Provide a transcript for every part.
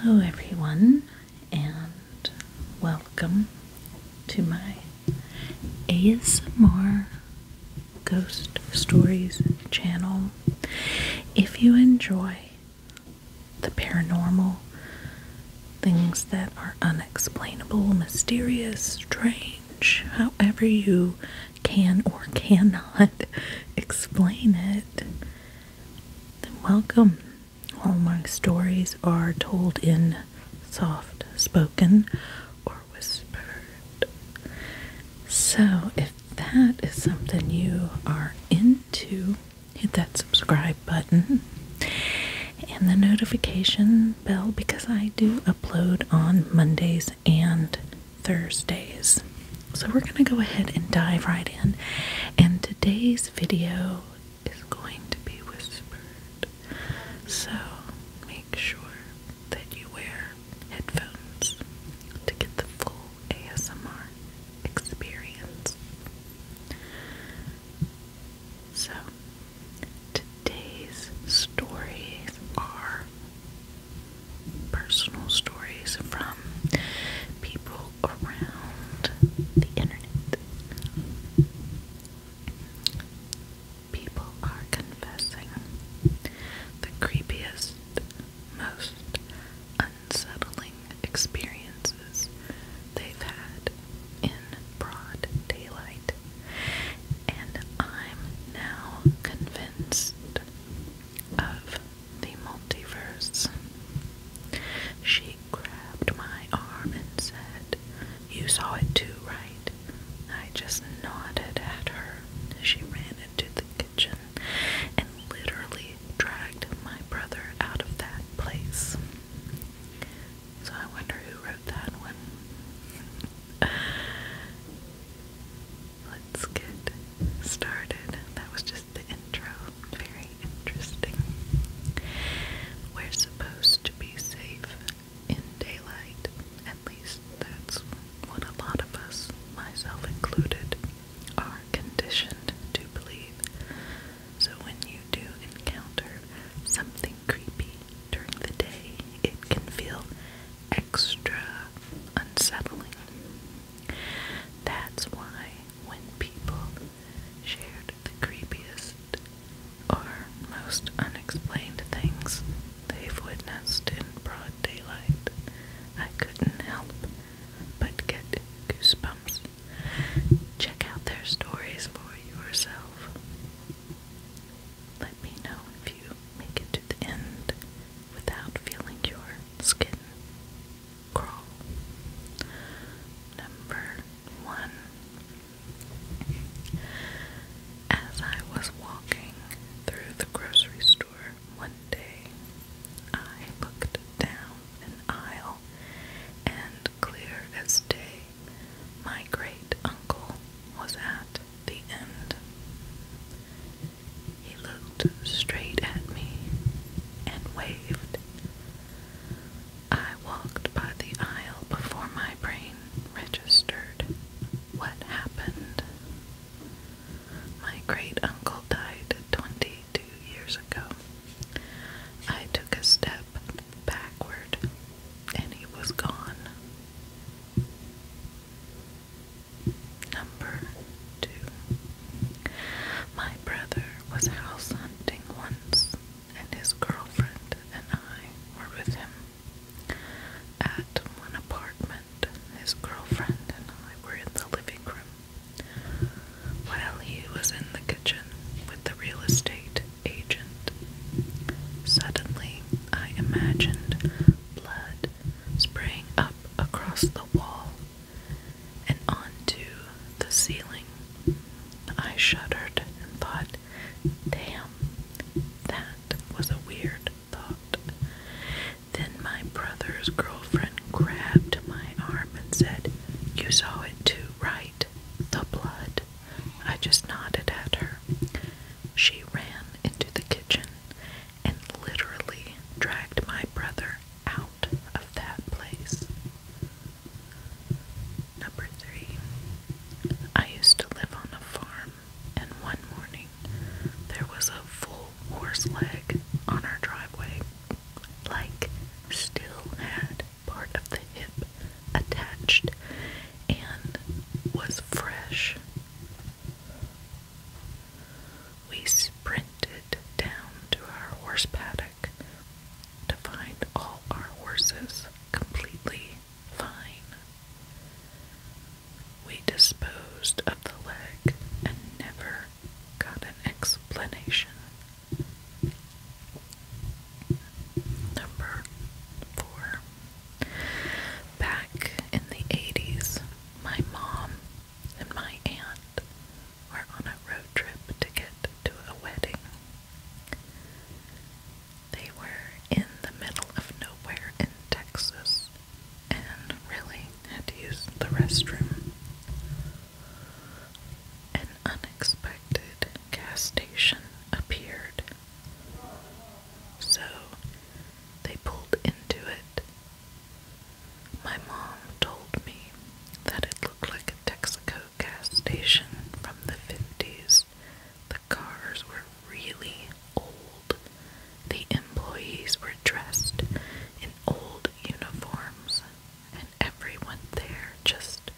Hello, everyone, and welcome to my ASMR Ghost Stories channel. If you enjoy the paranormal things that are unexplainable, mysterious, strange, however you can or cannot explain it, then welcome. my stories are told in soft spoken or whispered. So, if that is something you are into, hit that subscribe button and the notification bell because I do upload on Mondays and Thursdays. So we're going to go ahead and dive right in. And today's video is going to be whispered. So make sure that you wear headphones to get the full ASMR experience. So today's stories are personal stories from people around the internet. People are confessing the creepiest, most unsettling experiences they've had in broad daylight, and I'm now convinced of the multiverse. She grabbed my arm and said, You saw it too, right? I just nodded at her. She ran into the kitchen and literally dragged my brother out of that place. So I wonder who wrote that one. Let's get started. That was just the intro. Very interesting. We're supposed to be safe in daylight. At least that's what a lot of us, myself included, are conditioned to believe. So when you do encounter something creepy during the day, it can feel extra unsettling. That's why when people shared the creepiest or most unexplained things they've witnessed in broad daylight, I couldn't help but get goosebumps. Check out their stories for yourself. Let me know if you make it to the end without feeling your skin Crow. Number one. As I was walking through the grocery store one day, I looked down an aisle and clear as day, my great uncle was at the end. He looked straight at me and waved. I walked by the aisle before my brain registered what happened. My great uncle died 22 years ago. I took a step backward and he was gone. Number two. My brother was house hunting once, and his girlfriend and I were with him. At one apartment, his girlfriend and I were in the living room while he was in the kitchen with the real estate agent. Suddenly, I imagined blood spraying up across the wall and onto the ceiling. I shuddered and thought, damn, that was a weird thought. Then my brother's girlfriend grabbed my arm and said, You saw it too, right? The blood. I just nodded at her. She ran into the kitchen and literally dragged my brother out of that place. Number three, I used to live on a farm, and one morning there was a full horse leg on our driveway, like still had part of the hip attached and was fresh we sprinted down to our horse paddock to find all our horses completely fine. We disposed of the leg and never got an explanation. Number four. Back in the 80s, my mom and my aunt were on a road trip to get to a wedding. They were in the middle of nowhere in Texas and really had to use the restroom. An unexpected gas station appeared. So they pulled into it my mom told me that it looked like a Texaco gas station from the 50s. The cars were really old. The employees were dressed in old uniforms, and everyone there just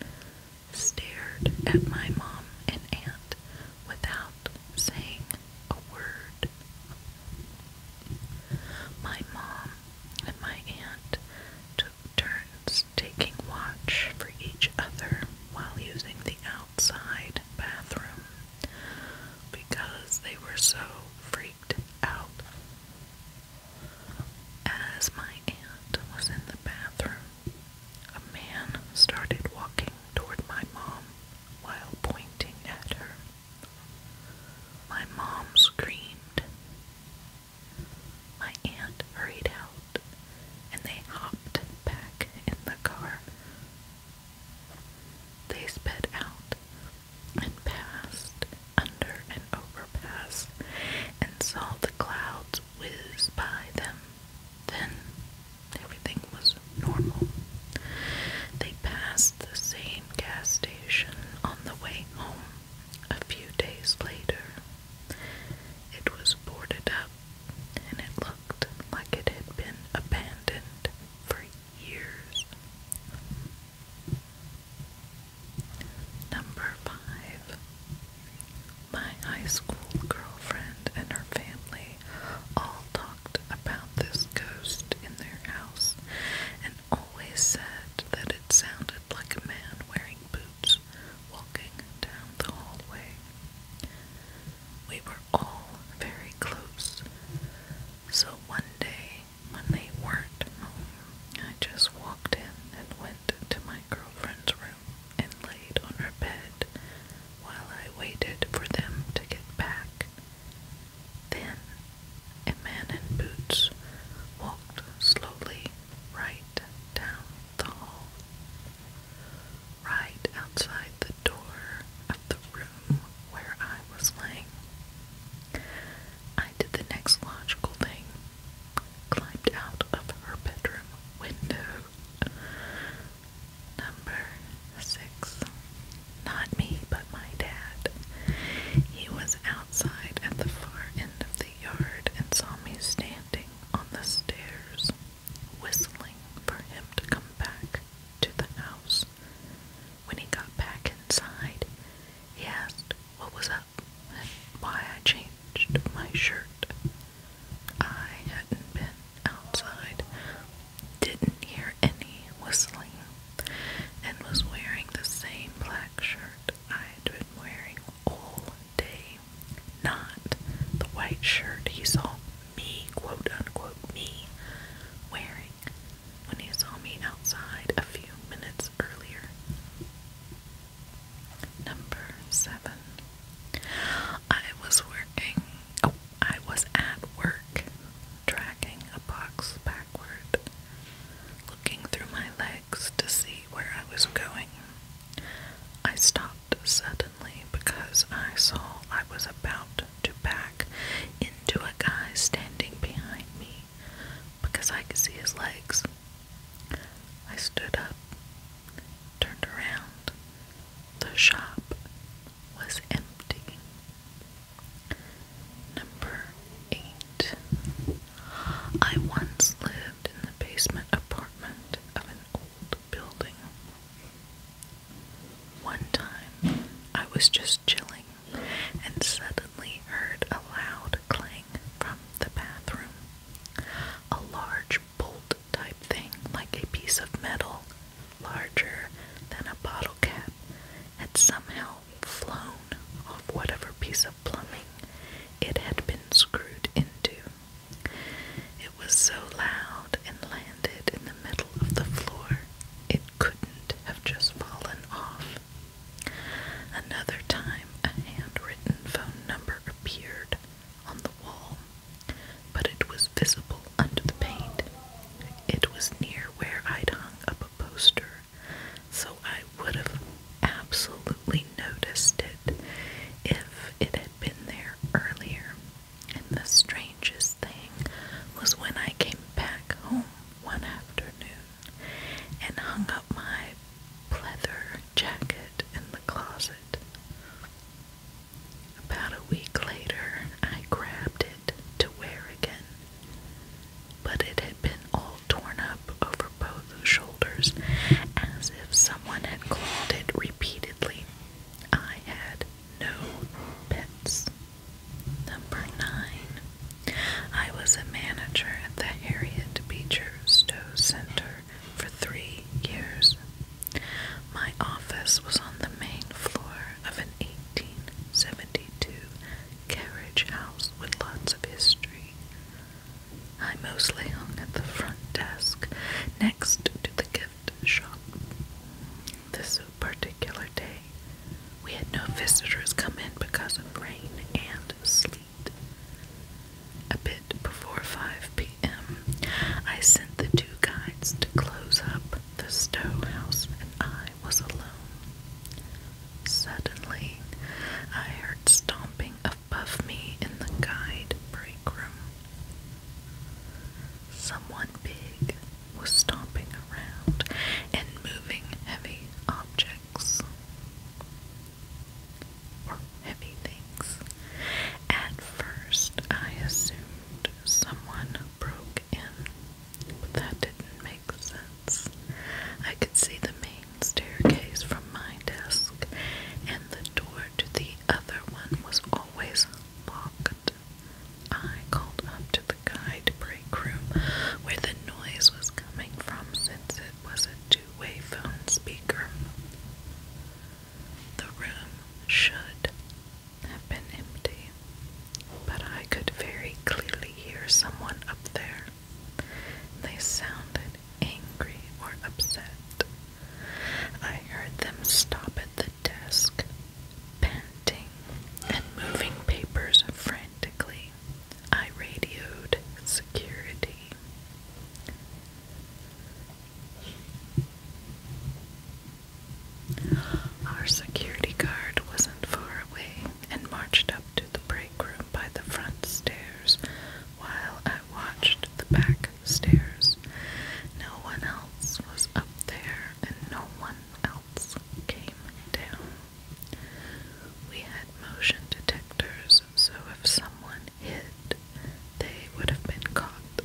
stared at my mom and aunt without saying a word. My mom and my aunt took turns taking watch for each other while using the outside bathroom because they were so freaked out. As my aunt was in the bathroom, a man started walking toward my mom while pointing at her. My mom screamed. My aunt hurried out, and they hopped back in the car. They sped out and passed under an overpass and saw the clouds whiz by them. Then everything was normal. They passed the same gas station on the way home a few days later. It was boarded up and it looked like it had been abandoned for years. Number five. My high school girlfriend and her family all taught talked about this ghost in their house and always said that it sounded like a man wearing boots walking down the hallway. We were all very close, so one day when they weren't home, I just walked in and went to my girlfriend's room and laid on her bed while I waited for them to get back. Then a man in boots walked slowly right down the hall. Right outside the door of the room where I was laying. I did the next logical thing. Climbed out of her bedroom window. Number six. Not me, but my dad. He was outside at the far end of the yard and saw me standing on the stairs, whistling for him to come back to the house. When he got back inside, he asked what was up and why I changed my shirt. I hadn't been outside didn't hear any whistling and was wearing the same black shirt I'd been wearing all day. Not the white shirt he saw me, quote unquote, me wearing when he saw me outside a few minutes earlier. Number seven. I was working. Oh, I was at work, dragging a box backward, looking through my legs to see where I was going. I stopped suddenly because I saw I was about to back into a guy standing behind me because I could see his legs. I stood up, turned around. The shop was empty. Number 8. I once lived in the basement apartment of an old building. One time, I was just chilling and suddenly heard a loud clang from the bathroom. A large bolt type thing, like a piece of metal, larger than a bottle cap, had somehow flown off whatever piece of plumbing it had been screwed into. It was so loud and landed in the middle of the floor, it couldn't have just fallen off. Another time, a handwritten phone number appeared on the wall, but it was visible under the paint. It was near where I'd hung up a poster, so I would have absolutely noticed it if it had been there earlier. And the strangest thing was when I came back home one afternoon and hung up my pleather jacket in the closet. About a week later, I grabbed it to wear again. But it had been all torn up over both shoulders, as if someone had clawed it repeatedly. I had no pets. Number nine. I was a manager at the Harriet Beecher Stowe Center for three years. My office was on the main floor of an 1872 carriage house with lots of history. I mostly hung at the front desk next to the gift shop. This particular day, we had no visitors come in because of rain and sleet. A bit before 5 p.m., I sent the two guides to close up the stone house, and I I was alone. Suddenly, I heard stomping above me in the guide break room. Someone big was stomping around and moving heavy objects or heavy things. At first, I assumed someone broke in, but that didn't make sense. I could see the main staircase from my desk, and the door to the other one was always locked. I called up to the guide break room where the noise was coming from since it was a two way phone speaker. The room should have been empty, but I could very clearly hear someone up there. They sounded angry or upset. I heard them stop at the desk, panting and moving papers frantically. I radioed security. Our security guard wasn't far away and marched up to the break room by the front stairs while I watched the back stairs. No one else was up there and no one else came down. We had motion detectors, so if someone hid, they would have been caught.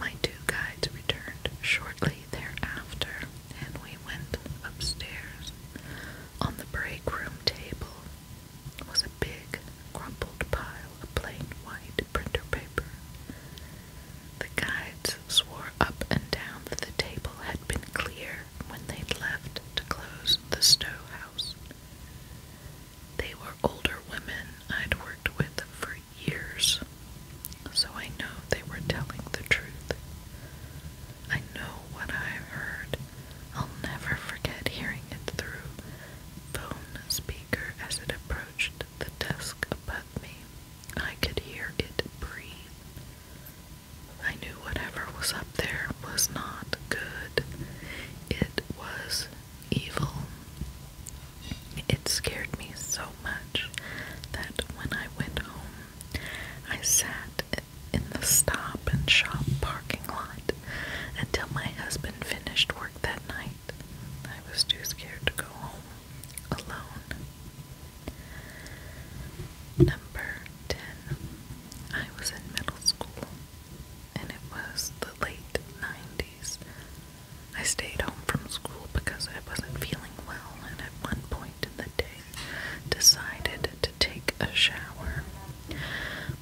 My two guides returned shortly thereafter, and we went upstairs. On the break room table was a big, crumpled pile of plain white printer paper. The guides swore up and down that the table had been clear when they'd left to close the Stowe house. They were older women I'd worked with for years, so I know they were telling the truth. I know what I've heard. I'll never forget hearing it through phone speaker as it approached the desk above me. I could hear it breathe. I knew whatever was up there was not good. It was evil. It scared me so much that when I went home, I sat in the stop and shop parking lot until my husband finished work that night. I was too scared to go home alone. Number 10. I was in middle school and it was the late 90s, I stayed home from school because I wasn't feeling well, and at one point in the day, decided to take a shower.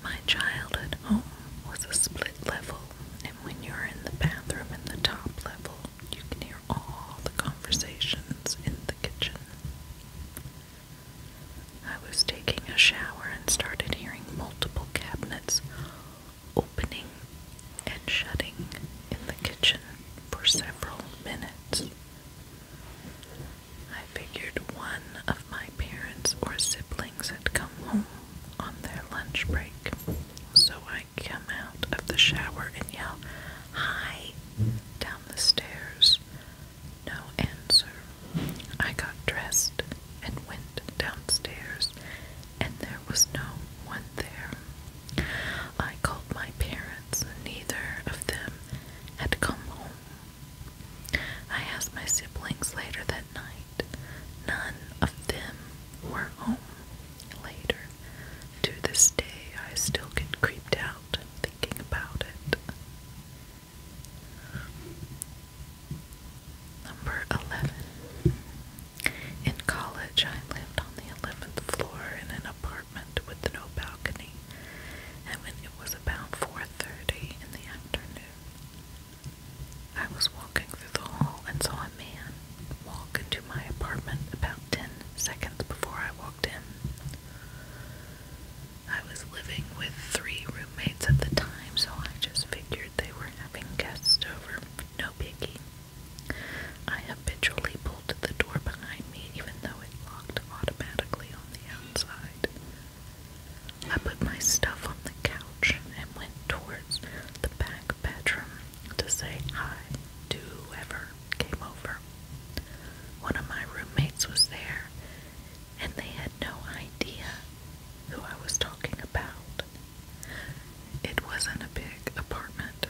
My childhood home was a split level, and when you're in the bathroom in the top level, you can hear all the conversations in the kitchen. I was taking a shower and started hearing multiple cabinets opening and shutting in the kitchen for several minutes. I figured one of my parents or siblings had come home on their lunch break, so I come out of the shower and yell, Hi! down the stairs. No answer. I got dressed and went downstairs and there was no one there. I called my parents, neither of them had come home. I asked my siblings later that night. None of them were home later. To this day, I still get creeped out thinking about it. Number 11. In college, I lived on the 11th floor in an apartment with no balcony, and when it was about 4.30 in the afternoon, I was walking through the hall and saw a man walk into my apartment about 10 seconds before I walked in. I was living with three roommates at the time, so I just figured they were having guests over. No biggie. I habitually bolted the door behind me even though it locked automatically on the outside. I put my stuff on the couch and went towards the back bedroom to say hi to whoever came over. One of my roommates was there, and they had no idea who I was talking about. It wasn't a big apartment,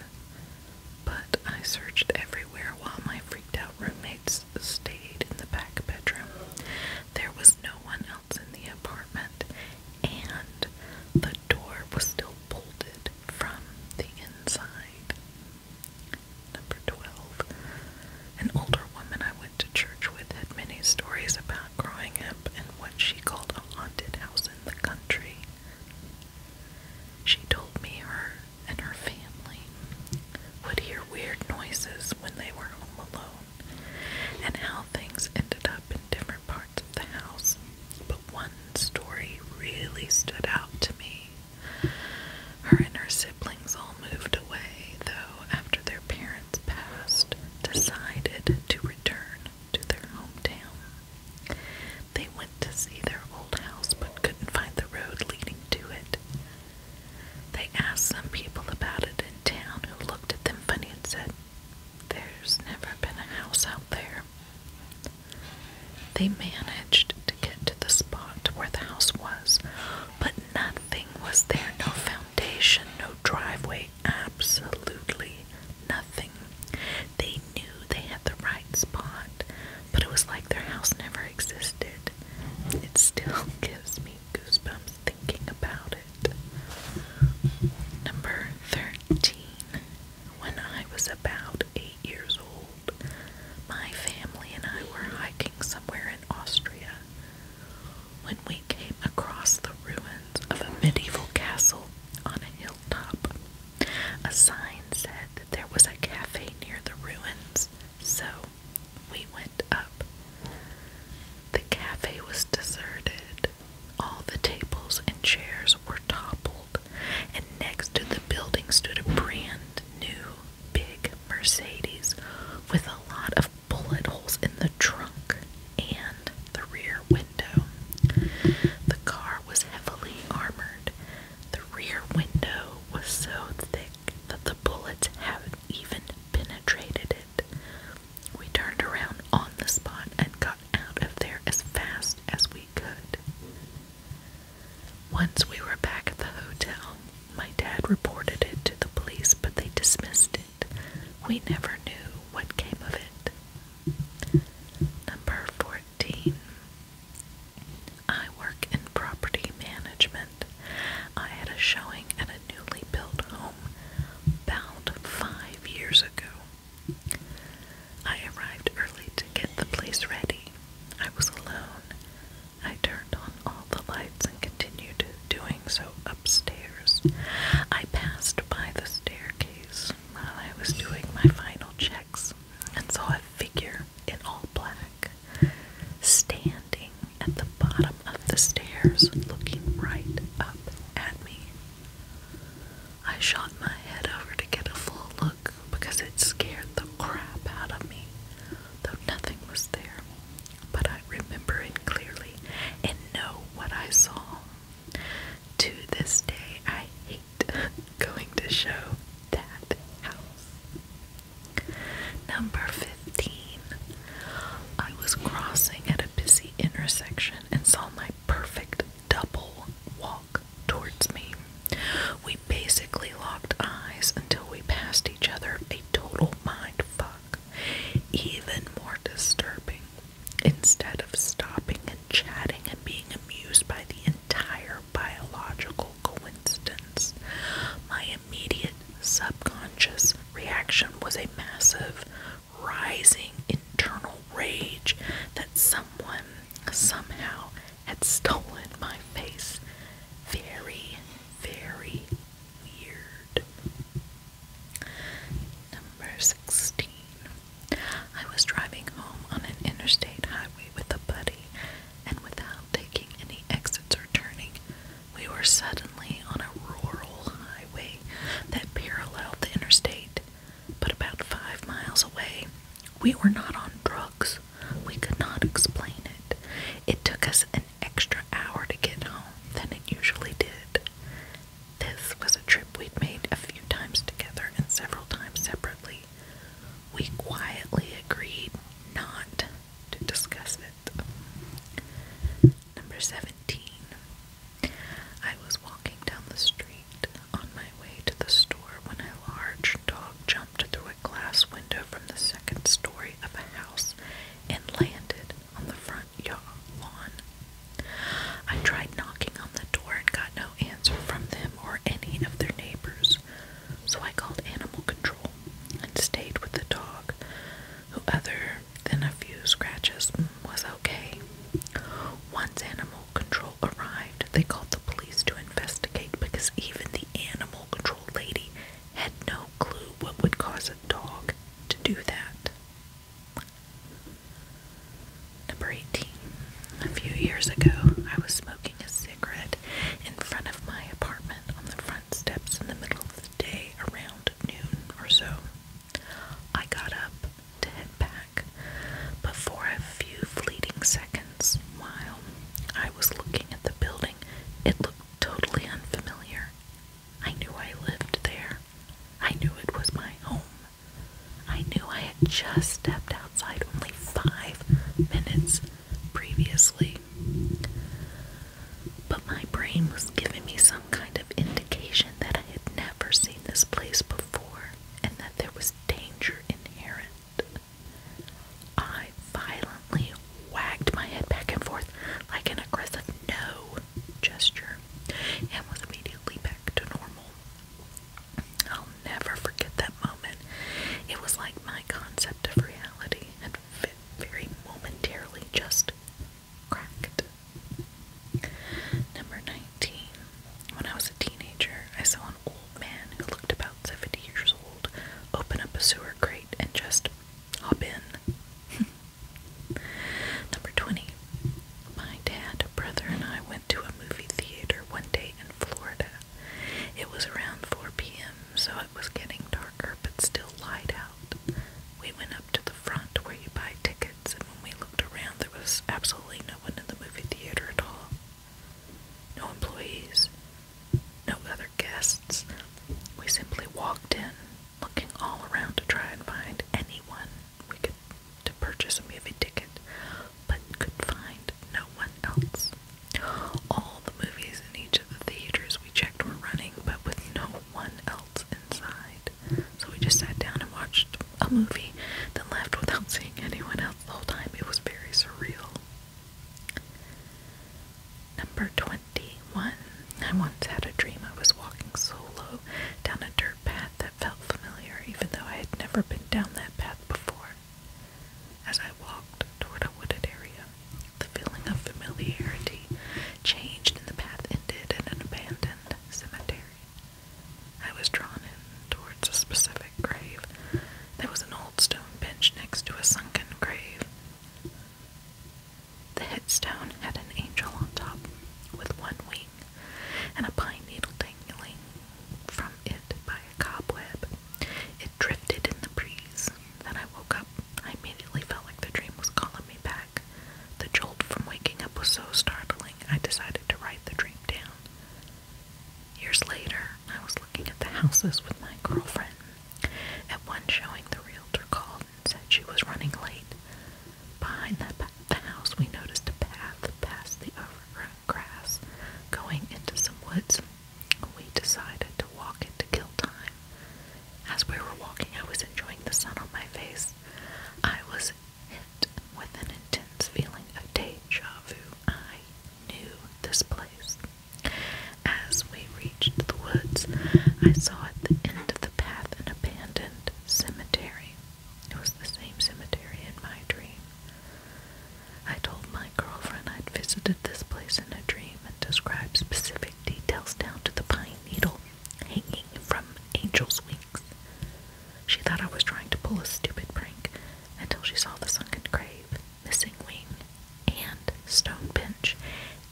but I searched everywhere while my freaked out roommates stayed in the back bedroom. There was no one else in the apartment, and the door was still bolted from the inside. Number 12. An older woman I went to church with had many stories about growing up and what she called a haunted house in the country. She told me her and her family would hear weird noises when they were home alone and how things ended up in different parts of the house. But one story really stood out to me. Her and her siblings all moved away, though, after their parents passed, decided to return to their hometown. They went to see their old house but couldn't find the road leading to it. They asked some people about it in town who looked at them funny and said, There's never been a house out there. They managed to get to the spot where the house was, but nothing was there no foundation, no driveway, absolutely nothing. They knew they had the right spot, but it was like their house never existed. It still gives me goosebumps thinking about it. Number 13. When I was about 8 years old, my family and I were hiking somewhere in Austria when we came across the ruins of a medieval castle on a hilltop. A sign said that there was a cafe near the ruins, so we went up. The cafe was deserted. All the tables and chairs were toppled, and next to the building stood a brand new big Mercedes with a lot of bullet holes in the trunk and the rear window. The car was heavily armored. The rear window was so thick that the bullets haven't even penetrated it. We turned around on the spot and got out of there as fast as we could. Once we were back at the hotel, my dad reported it to the police, but they dismissed it. We never knew what came of it. Number 14. I work in property management. I had a showing at a newly built home about five years ago. I arrived early to get the place ready. I was alone. I turned on all the lights and continued doing so upstairs. I passed by the staircase while I was doing my final checks and saw a figure in all black standing at the bottom of the stairs looking right up at me. I shot my head over to get a full look because it scared the crap out of me, though nothing was there. But I remember it clearly and know what I saw. To this day, I hate going to show that house. Number 15. I was crossing at a busy intersection and saw my perfect double walk towards me. We basically locked eyes until we passed each other, a total mind fuck. Even more disturbing Instead of stopping and chatting and being amused by the entire biological coincidence, my immediate subconscious reaction was a massive, rising internal rage that someone somehow had stolen my face. Very, very weird. Number 16. I was driving home on an interstate highway with a buddy, and without taking any exits or turning, we were suddenly on a rural highway that paralleled the interstate. But about five miles away, we were not on drugs. We could not explain it. It took us an extra hour to get home than it usually did. This was a trip we'd made a few times together and several times separately. We quietly agreed not to discuss it. Number 17. I was walking down the street on my way to the store when a large dog jumped through a glass window from the second story of a house and landed on the front yard lawn I tried knocking on the door and got no answer from them or any of their neighbors, so I called animal control and stayed with the dog, who, other than a few scratches, mm, was okay. Once animal control arrived, they called the police to investigate because even the animal control lady had no clue what would cause a dog to do that. Number 18. A few years ago, I was smoking a cigarette in front of my apartment on the front steps in the middle of the day around noon or so. I got up to head back, but for a few fleeting seconds while I was looking at the building, it looked totally unfamiliar. I knew I lived there. I knew it was my home. I knew I had just stepped outside only five minutes previously. But my brain was giving me some kind of indication that I had never seen this place before and that there was danger inherent. I violently wagged my head back and forth like an aggressive no gesture and was immediately back to normal. I'll never forget that moment. It was like my concept of reality had very momentarily just cracked. Number 19. When I was a teenager, I saw an old man who looked about 70 years old open up a sewer grate and just hop in. Number 20. My dad, brother, and I went to a movie theater one day in Florida. It was around 4 p.m., so it was getting darker but still light out. We went up to the front where you buy tickets, and when we looked around, there was absolutely no one in the movie theater at all. No employees, no other guests. We simply walked in, looking all around to try and find anyone we could to purchase a movie ticket, but could find no one else. All the movies in each of the theaters we checked were running, but with no one else inside. So we just sat down and watched a movie, then left without seeing anyone else the whole time. It was very surreal. Number 21. I once had a dream I was walking solo down a dirt path that felt familiar, even though I had never been down that path before. As I walked toward a wooded area, the feeling of familiarity changed and the path ended in an abandoned cemetery. I was drawn in towards a specific grave. There was an old stone bench next to a sunken grave. The headstone had an angel on top, with one wing and a pine needle dangling from it by a cobweb. It drifted in the breeze. Then I woke up. I immediately felt like the dream was calling me back. The jolt from waking up was so startling, I decided to write the dream down. Years later, I was looking at the houses with my girlfriend. At one showing, the realtor called and said she was running late. Behind that the house, we noticed a path past the overgrown grass going into some woods. We decided to walk it to kill time. As we were walking, I was enjoying the sun on my face. I was hit with an intense feeling of deja vu. I knew this place. As we reached the woods, I saw at the end of the path an abandoned cemetery. It was the same cemetery in my dream. I told my girlfriend I'd visited this place in a dream and described specific details down to the pine needle hanging from angel's wings. She thought I was trying to pull a stupid prank until she saw the sunken grave, missing wing, and stone bench,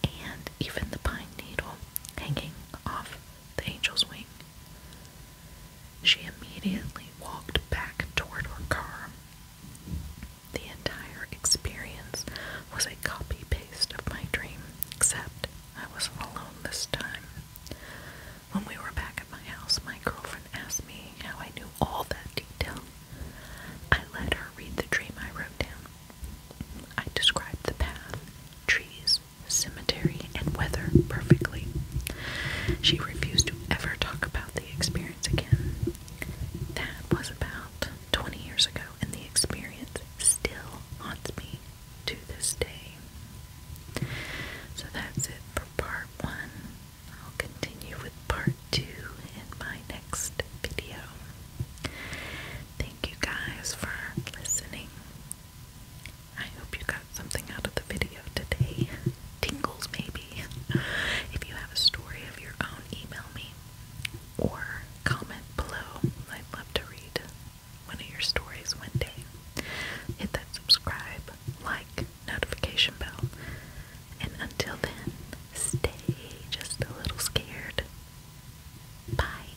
and even the pine needle hanging off the angel's wing. She immediately walked back toward her car. The entire experience was a copy paste of my dream, except I wasn't alone this time. When we were back at my house, my girlfriend asked me how I knew all that detail. I let her read the dream I wrote down. I described the path, trees, cemetery, and weather perfectly. She refused to ever talk about the experience again. That was about 20 years ago, and the experience still haunts me to this day. So that's it for part one. I'll continue with part two in my next video. Thank you guys for listening. I hope you got something out of the video today. Tingles, maybe. If you have a story of your own, email me or comment below. I'd love to read one of your stories one day. Hit that subscribe, like, notification bell. And until then, stay just a little scared. Bye.